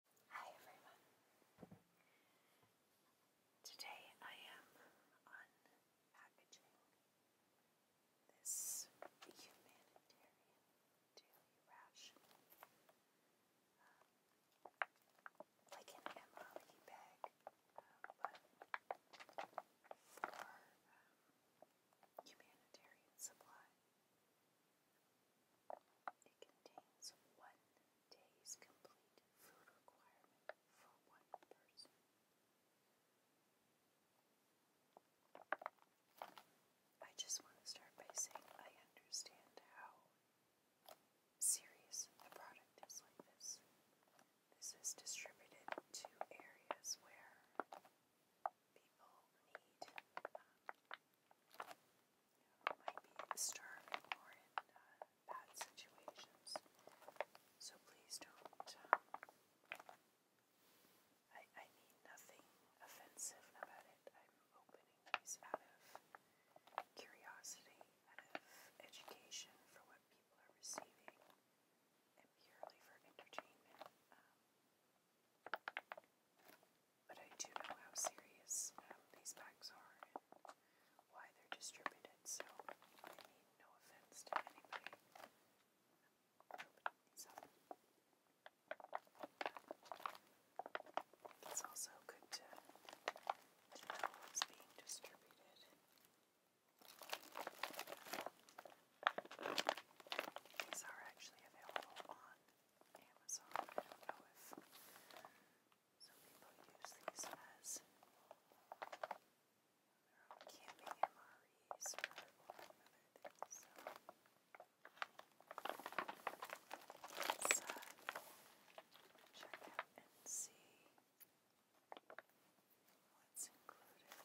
Hi everyone. Today I am unpackaging this humanitarian daily um, like an MRE bag, for um, humanitarian supply. It contains one day's complete food requirement for one person. I just want to start by saying I understand how serious the product is like this. This is distributed to areas where people need um, might be starving or in uh, bad situations. So please don't. Um, I, I mean nothing offensive about it. I'm opening these out of curiosity, out of education for what people are receiving, and purely for entertainment. Um, but I do know how serious um, these packs are and why they're distributed, so I mean no offense to anybody It's also good to, to know what's being distributed. These are actually available on Amazon. I don't know if some people use these as camping MREs or other So. Uh, check out and see what's included.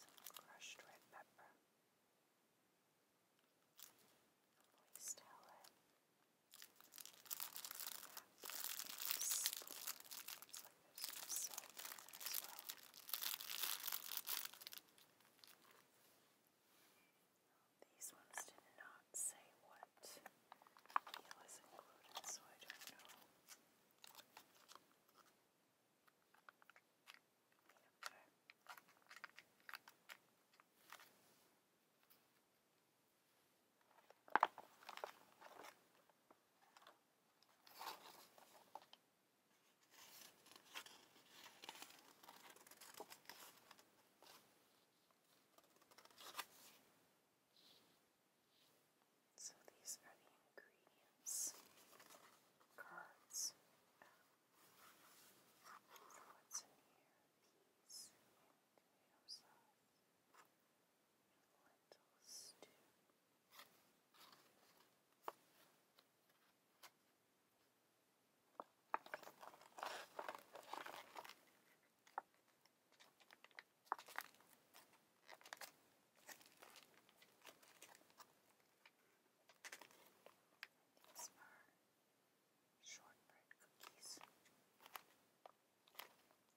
some crushed red pepper, moist towelette, and like there's some there as well. These ones did not say what he was included, so I don't know. Okay. Okay. So these are the ingredients cards what's in here peas and tomato sauce and lentil stew. These are shortbread cookies.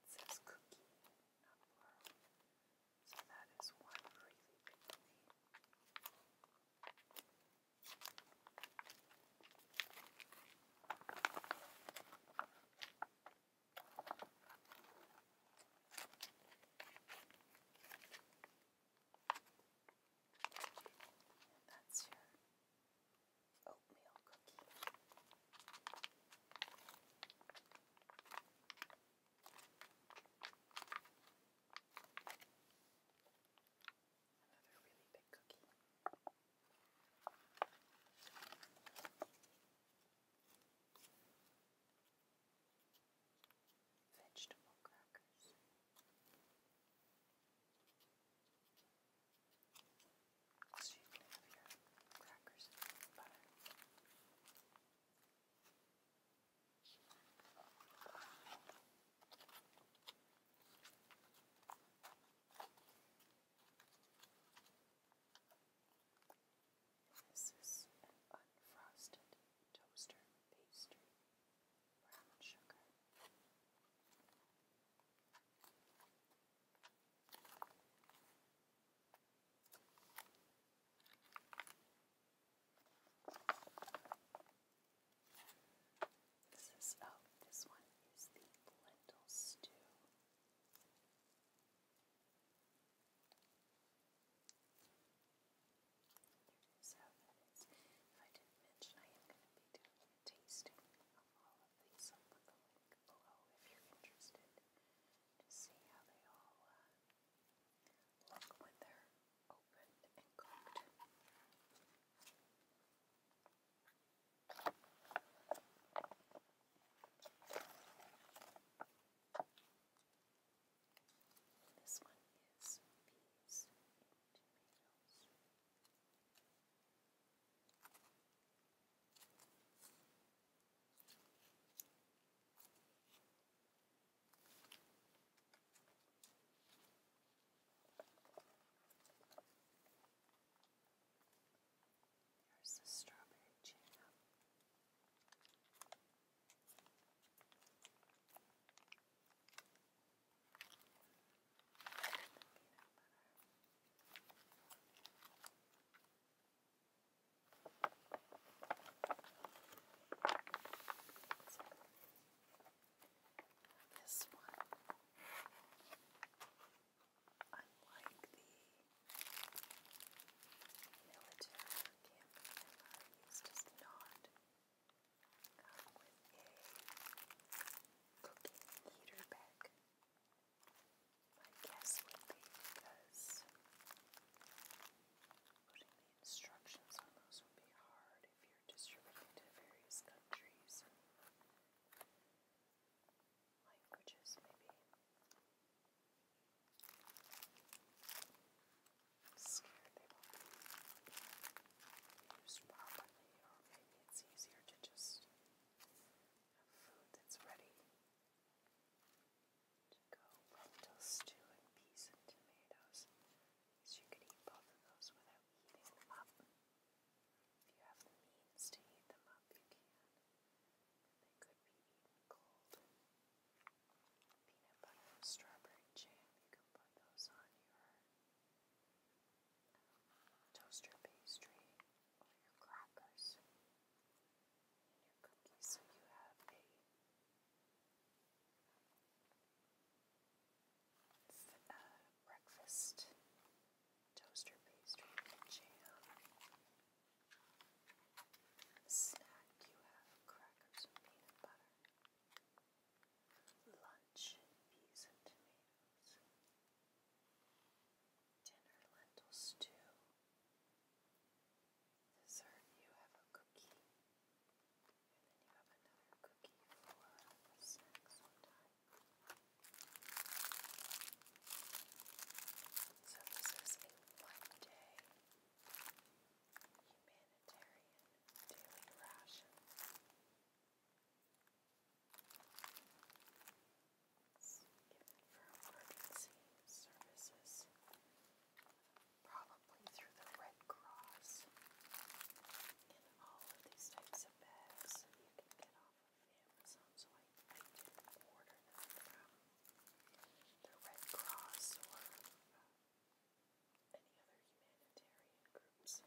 It says cookie, not plural. So that is one really big thing. And that's your oatmeal cookie. Another really big cookie. Vegetable crackers. So you can have your crackers and butter. This is an unfrosted toaster pastry, brown sugar. This is, oh, this one is the lentil stew. There is that is. If I didn't mention, I am going to be doing a tasting of all of these. I'll put the link below if you're interested to see how they all uh, look when they're opened and cooked. This one is peas and tomatoes. Here's the strawberry jam. Peanut butter. So, this one, unlike the military camping MREs, does not come with a cooking heater bag. My guess would be because Putting the instructions on those would be hard if you're distributing to various countries. Languages, maybe. scared they won't be properly, or maybe it's easier to just have food that's ready to go lentil stew and peas and tomatoes. So you could eat both of those without eating them up. If you have the means to eat them up, you can. They could be eaten cold. Peanut butter and strawberry jam, you can put those on your um, toaster pastry or your crackers in your cookies so you have a uh, breakfast toaster pastry with jam. Snack, you have crackers and peanut butter. Lunch, peas and tomatoes. Dinner, lentil stew dessert, you have a cookie, and then you have another cookie for a snack So this is one-day humanitarian daily ration for emergency services, probably through the Red Cross. And all of these types of bags you can get off of Amazon, so I, I didn't order them from the Red Cross or uh, any other humanitarian groups that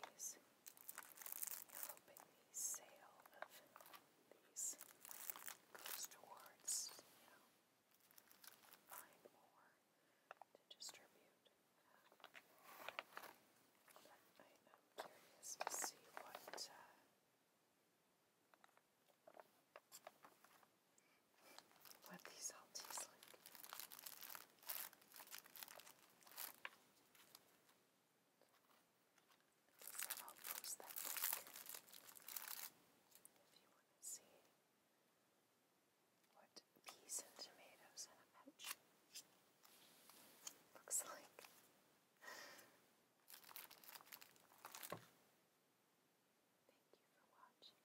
might use these hoping the sale of these goes towards, you know, buying more to distribute. But I am curious to see what uh, what these all taste like. I'll post that link if you want to see what peas and tomatoes in a pouch looks like. Thank you for watching.